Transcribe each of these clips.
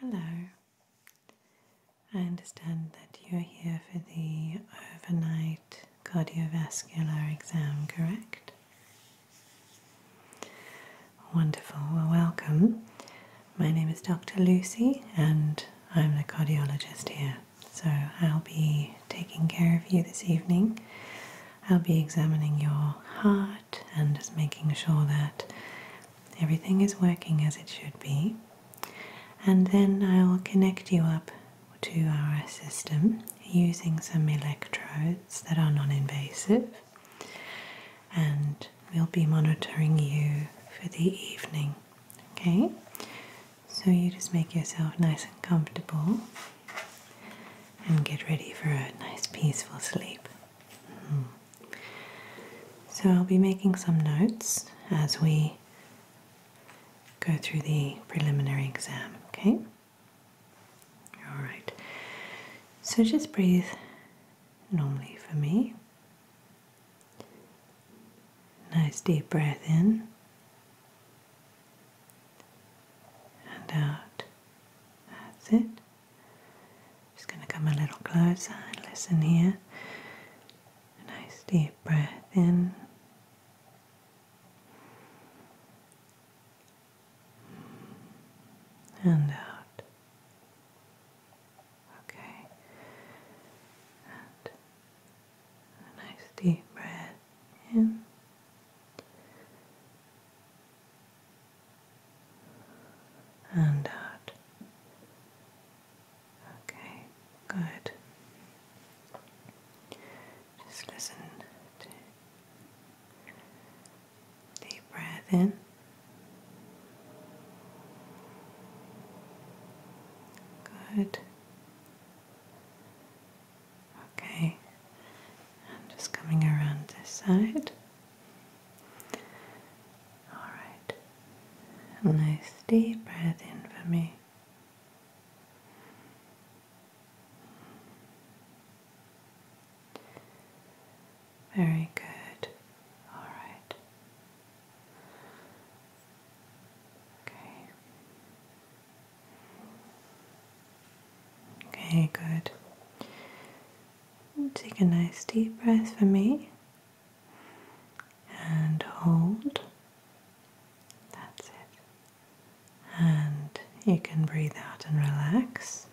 Hello. I understand that you're here for the overnight cardiovascular exam, correct? Wonderful. Well, welcome. My name is Dr. Lucy, and I'm the cardiologist here. So I'll be taking care of you this evening. I'll be examining your heart and just making sure that everything is working as it should be. And then I will connect you up to our system using some electrodes that are non invasive. And we'll be monitoring you for the evening. Okay? So you just make yourself nice and comfortable and get ready for a nice peaceful sleep. So I'll be making some notes as we go through the preliminary exam, okay? All right. So just breathe normally for me. Nice deep breath in and out. That's it. Just going to come a little closer and listen here. A nice deep breath in. And out. Okay. And a nice deep breath in and out. Okay, good. Just listen deep breath in. Good. Okay, i just coming around this side. Alright, nice deep breath in for me. Very good. All right. Okay. Okay, good. Take a nice deep breath for me and hold. That's it. And you can breathe out and relax.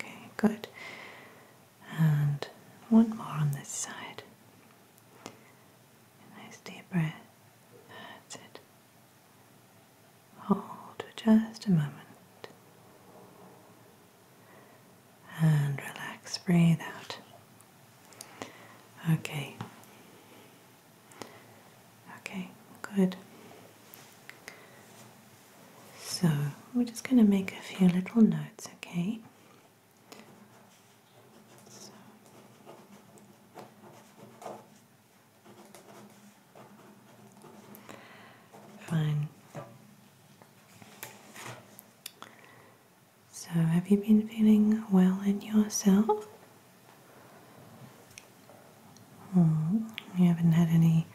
Okay, good. And one more on this side. nice deep breath. That's it. Hold just a moment. And relax, breathe out. Okay. Okay, good. So we're just going to make a few little notes, okay? Fine. So, have you been feeling well in yourself? Hmm, you haven't had any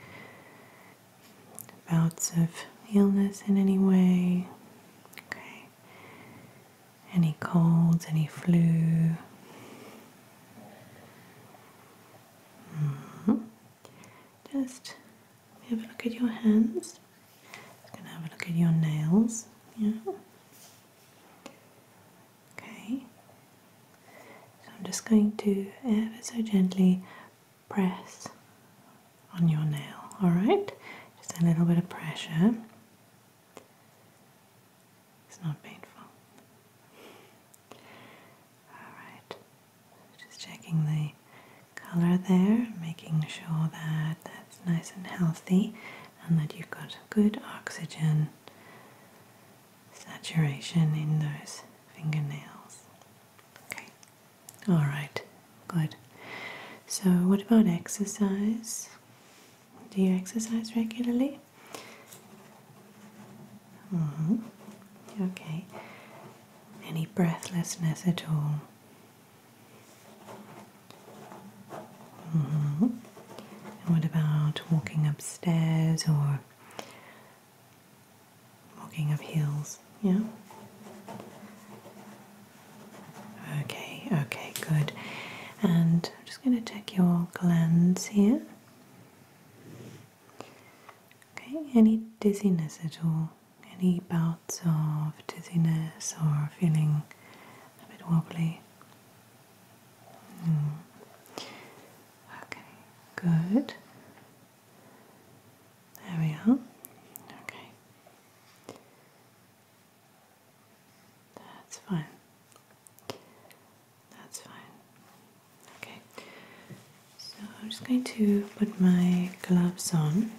bouts of illness in any way? Okay. Any colds, any flu? -hmm. Just have a look at your hands. Just gonna have a look at your nails. Yeah. Okay. So I'm just going to ever so gently press on your nail, alright? Just a little bit of pressure. It's not painful. Alright. Just checking the color there, making sure that that's nice and healthy and that you've got good oxygen saturation in those fingernails. Okay, all right, good. So, what about exercise? Do you exercise regularly? -hmm. Okay. Any breathlessness at all? -hmm. what about walking upstairs or walking up hills? Yeah. Okay, okay, good. And I'm just going to check your glands here. Okay, any dizziness at all? Any bouts of dizziness or feeling a bit wobbly? Hmm. Okay, good. There we are. Okay. That's fine. That's fine. Okay. So I'm just going to put my gloves on.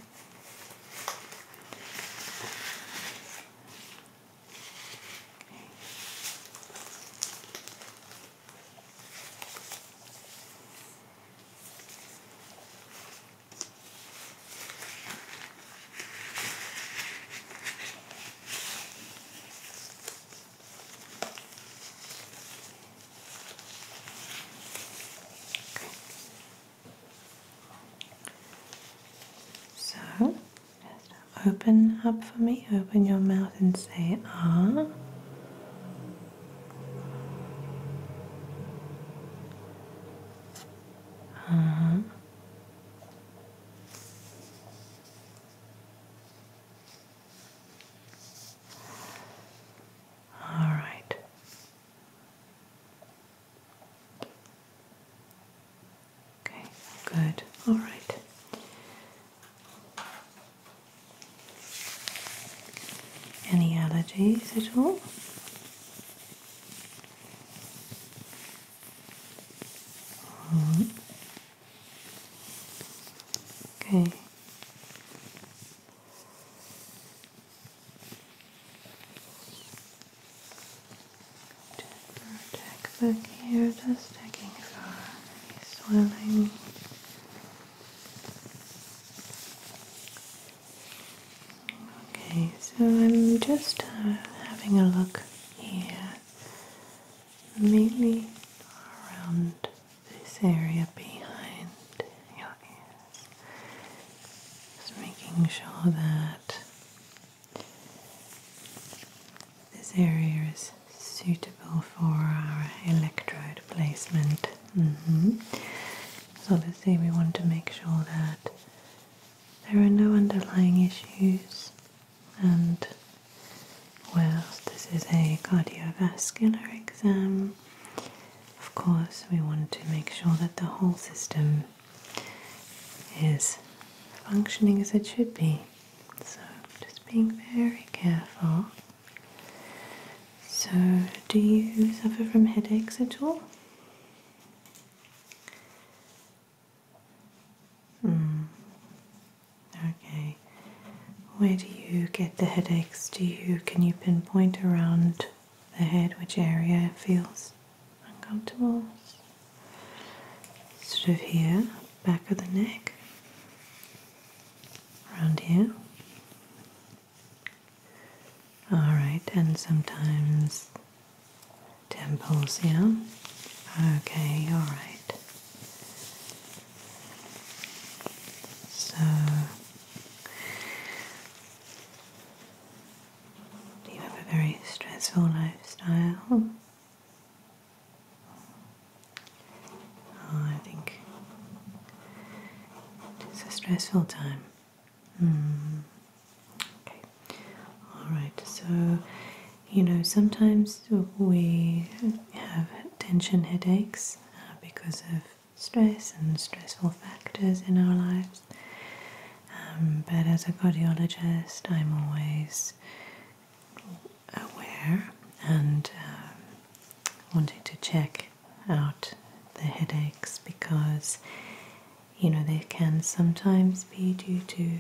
So, just open up for me, open your mouth and say ah. ah. All right. Okay, good. All right. Any allergies at all? -hmm. Okay. Just here, just checking for swelling. Okay, so I'm just uh, having a look here, mainly around this area behind your ears. Just making sure that this area is suitable for our electrode placement. Mm -hmm. So, obviously, we want to make sure that there are no underlying issues and well, this is a cardiovascular exam, of course, we want to make sure that the whole system is functioning as it should be. So, just being very careful. So, do you suffer from headaches at all? Mm. Okay. Where do you get the headaches? Do you can you pinpoint around the head which area feels uncomfortable? Sort of here, back of the neck, around here. Alright, and sometimes temples, yeah? Okay, alright. So you have a very stressful lifestyle? Oh, I think it's a stressful time. Hmm. Okay. All right. So, you know, sometimes we have tension headaches. Uh, because of stress and stressful factors in our lives. Um, but as a cardiologist, I'm always aware and um, wanting to check out the headaches because you know they can sometimes be due to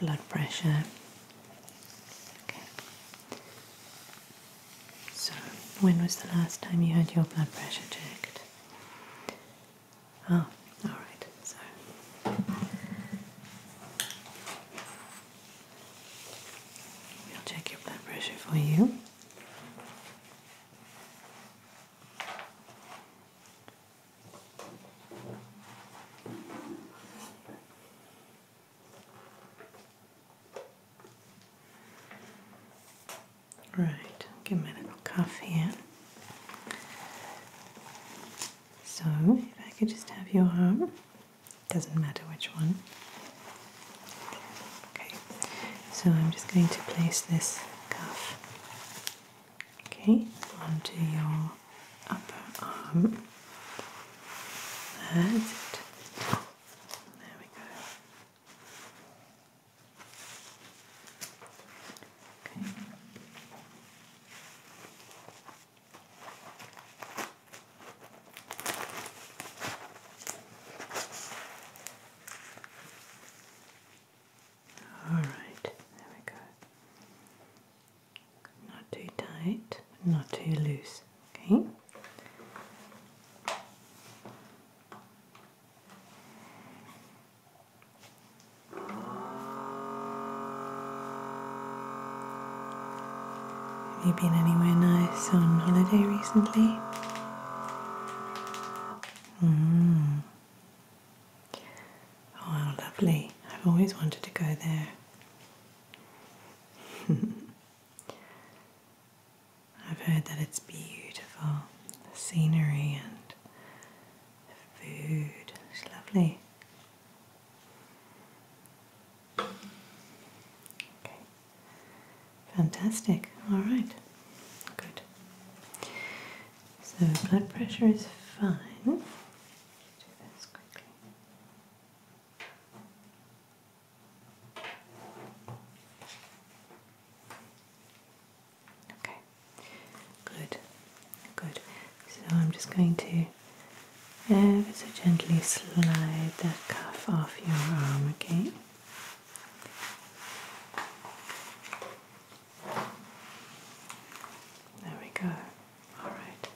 blood pressure. So, when was the last time you had your blood pressure checked? Oh, ah, alright, so. We'll check your blood pressure for you. Right, give me a little cuff here. So, if I could just have your arm, doesn't matter which one. Okay, so I'm just going to place this cuff, okay, onto your upper arm. That's it. There we go. Okay. All right, there we go not too tight, not too loose, okay? Have you been anywhere nice on holiday recently? Mm. Oh, lovely. I've always wanted to go there. I've heard that it's beautiful, the scenery and the food is lovely. fantastic. All right, good. So blood pressure is fine. Okay, good, good. So I'm just going to ever so gently slide that cuff off your arm, okay? There we go. All right.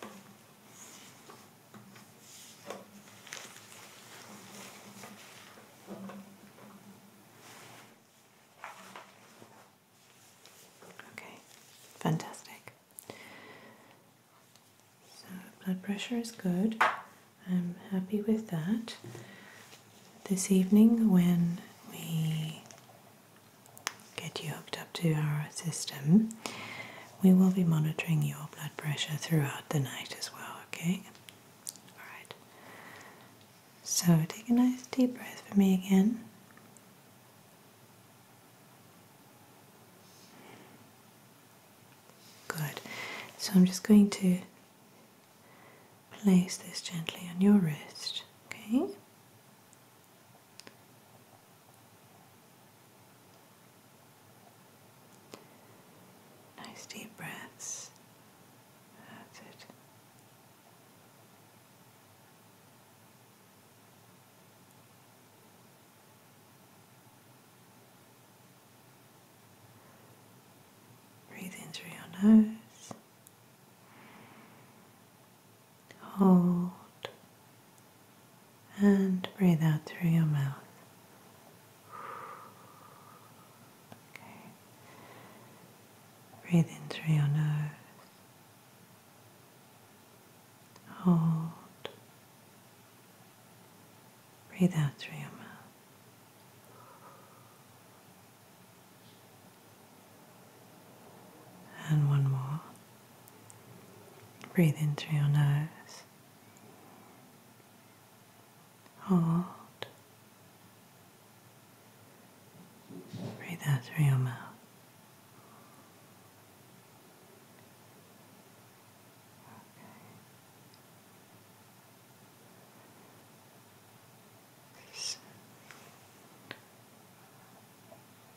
Okay, fantastic. So, blood pressure is good. I'm happy with that. This evening, when we get you hooked up to our system, we will be monitoring your blood pressure throughout the night as well, okay? Alright. So take a nice deep breath for me again. Good. So I'm just going to place this gently on your wrist, okay? Nice deep breaths. That's it. Breathe in through your nose. Hold and breathe out through your mouth. Okay. Breathe in through your nose. Hold. Breathe out through your mouth. And one more. Breathe in through your nose. Hold. Breathe out through your mouth.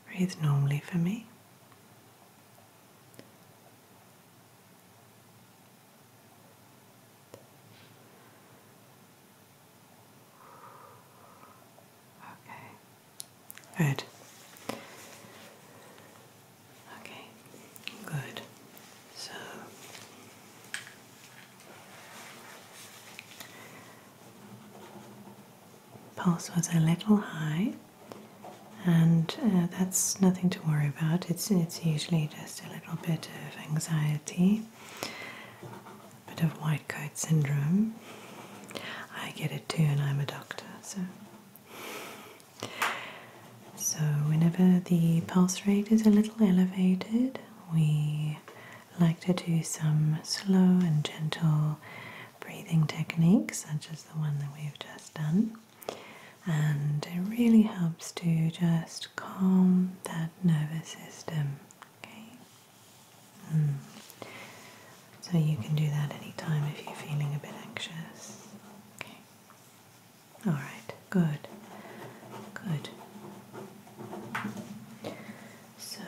Breathe normally for me. Okay. Good. Okay. Good. So pulse was a little high and uh, that's nothing to worry about. It's it's usually just a little bit of anxiety, a bit of white coat syndrome. I get it too, and I'm a doctor, so. So, whenever the pulse rate is a little elevated, we like to do some slow and gentle breathing techniques, such as the one that we've just done and it really helps to just calm that nervous system. Okay. Mm. So you can do that anytime if you're feeling a bit anxious. Okay. All right. Good. Good. So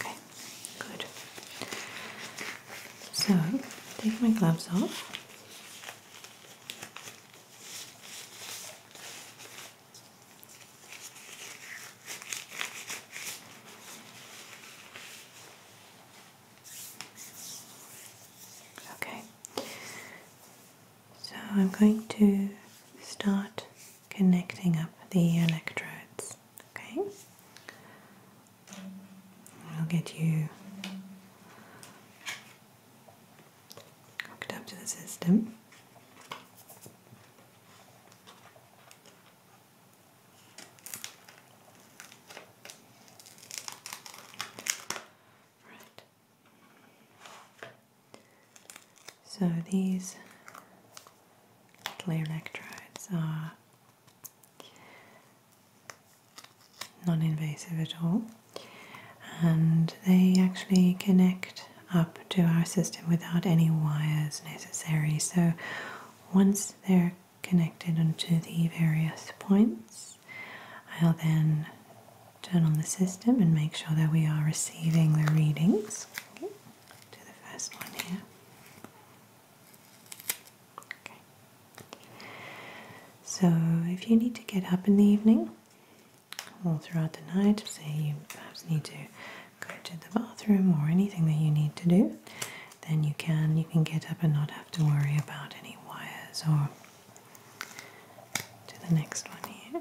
Okay, good. So, take my gloves off. Okay. So I'm going to start connecting up the electrodes, okay? I'll get you hooked up to the system. Right. So these clear electrodes are non-invasive at all and they actually connect up to our system without any wires necessary so once they're connected onto the various points I'll then turn on the system and make sure that we are receiving the readings. Okay. the first one here. So if you need to get up in the evening or throughout the night, say you perhaps need to go to the bathroom or anything that you need to do, then you can you can get up and not have to worry about any wires or to the next one here.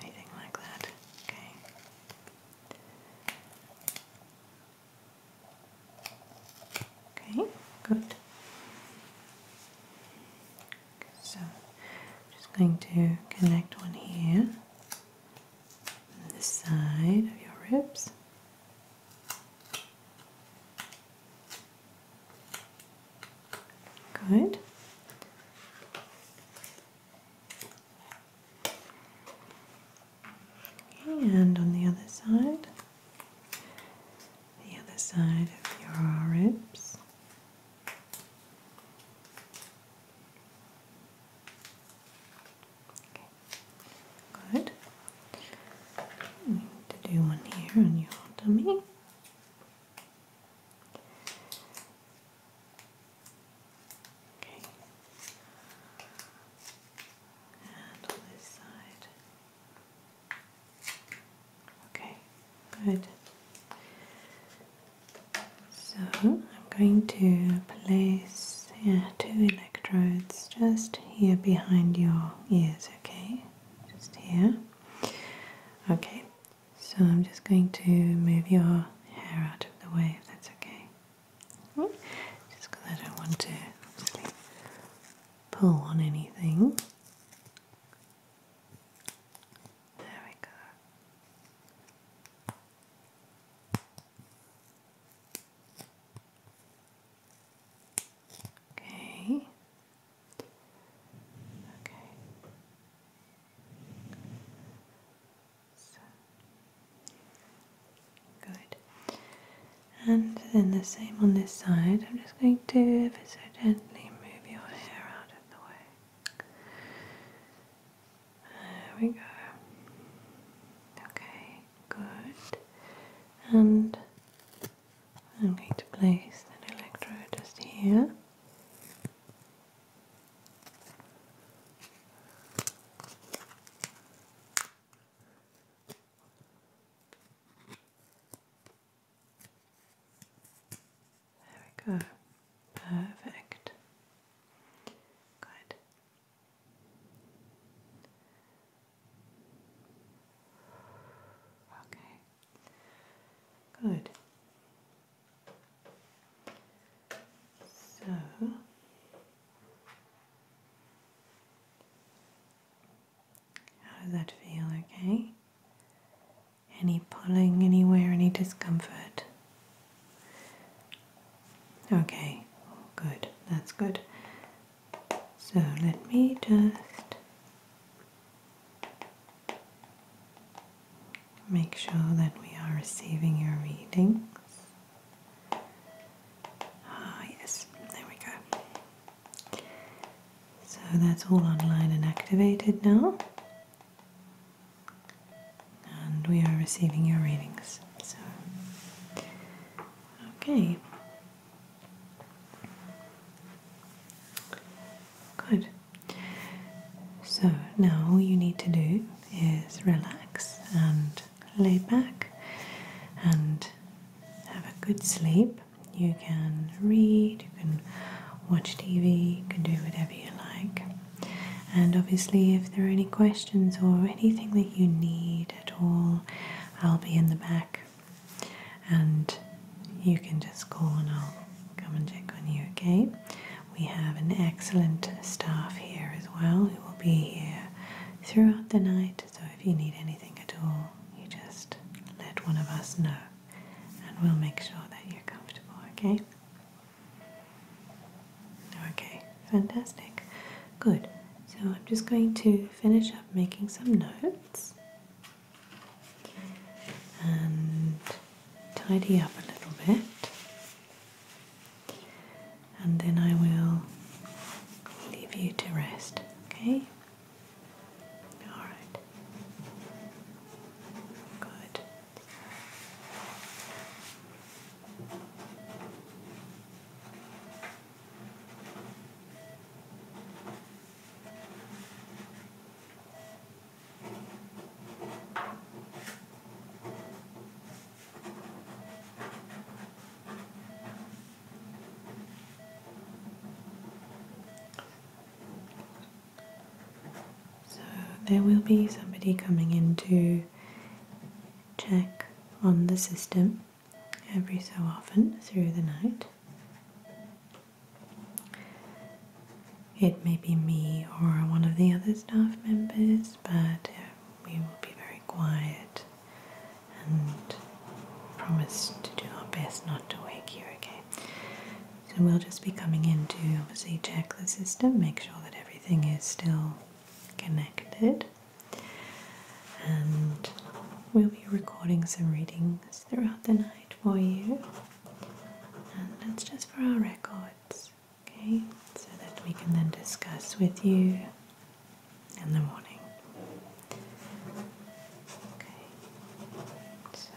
Anything like that. Okay. Okay, good. So, I'm just going to connect one here on the side of your ribs. Good. And on the other side, the other side of your ribs. Good. need to do one here on your tummy. Okay. And this side. Okay, good. So I'm going to place yeah, two electrodes just here behind your ears, okay? Just here. Okay, so I'm just going to move your hair out of the way if that's okay. Mm-hmm. Just because I don't want to pull on anything. There we go. Okay, Okay. good. And then the same on this side. I'm just going to ever so gently move your hair out of the way. There we go. Okay, good. And I'm going to place an electrode just here. There we go. Perfect. Good. Okay. Good. So how does that feel? Okay. Any pulling anywhere, any discomfort? Okay, good, that's good. So let me just Make sure that we are receiving your readings. Ah, yes, there we go. So that's all online and activated now. And we are receiving your readings. So, okay. Good. So now all you need to do is relax and lay back and have a good sleep. You can read, you can watch TV, you can do whatever you like. And obviously, if there are any questions or anything that you need at all, I'll be in the back and you can just call and I'll come and check on you, okay? We have an excellent staff here as well who will be here throughout the night, so if you need anything at all, you just let one of us know and we'll make sure that you're comfortable, okay? Okay, fantastic. Good. So I'm just going to finish up making some notes and tidy up a little bit, and then I will leave you to rest, okay? All right. Good. So there will be somebody coming in to check on the system every so often through the night. It may be me or one of the other staff members, but uh, we will be very quiet and promise to do our best not to wake you, okay? So we'll just be coming in to see check the system, make sure that everything is still connected, and we'll be recording some readings throughout the night for you. And that's just for our records, okay? So that we can then discuss with you in the morning. Okay, so.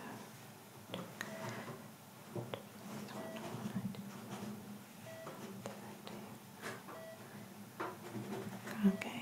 Okay.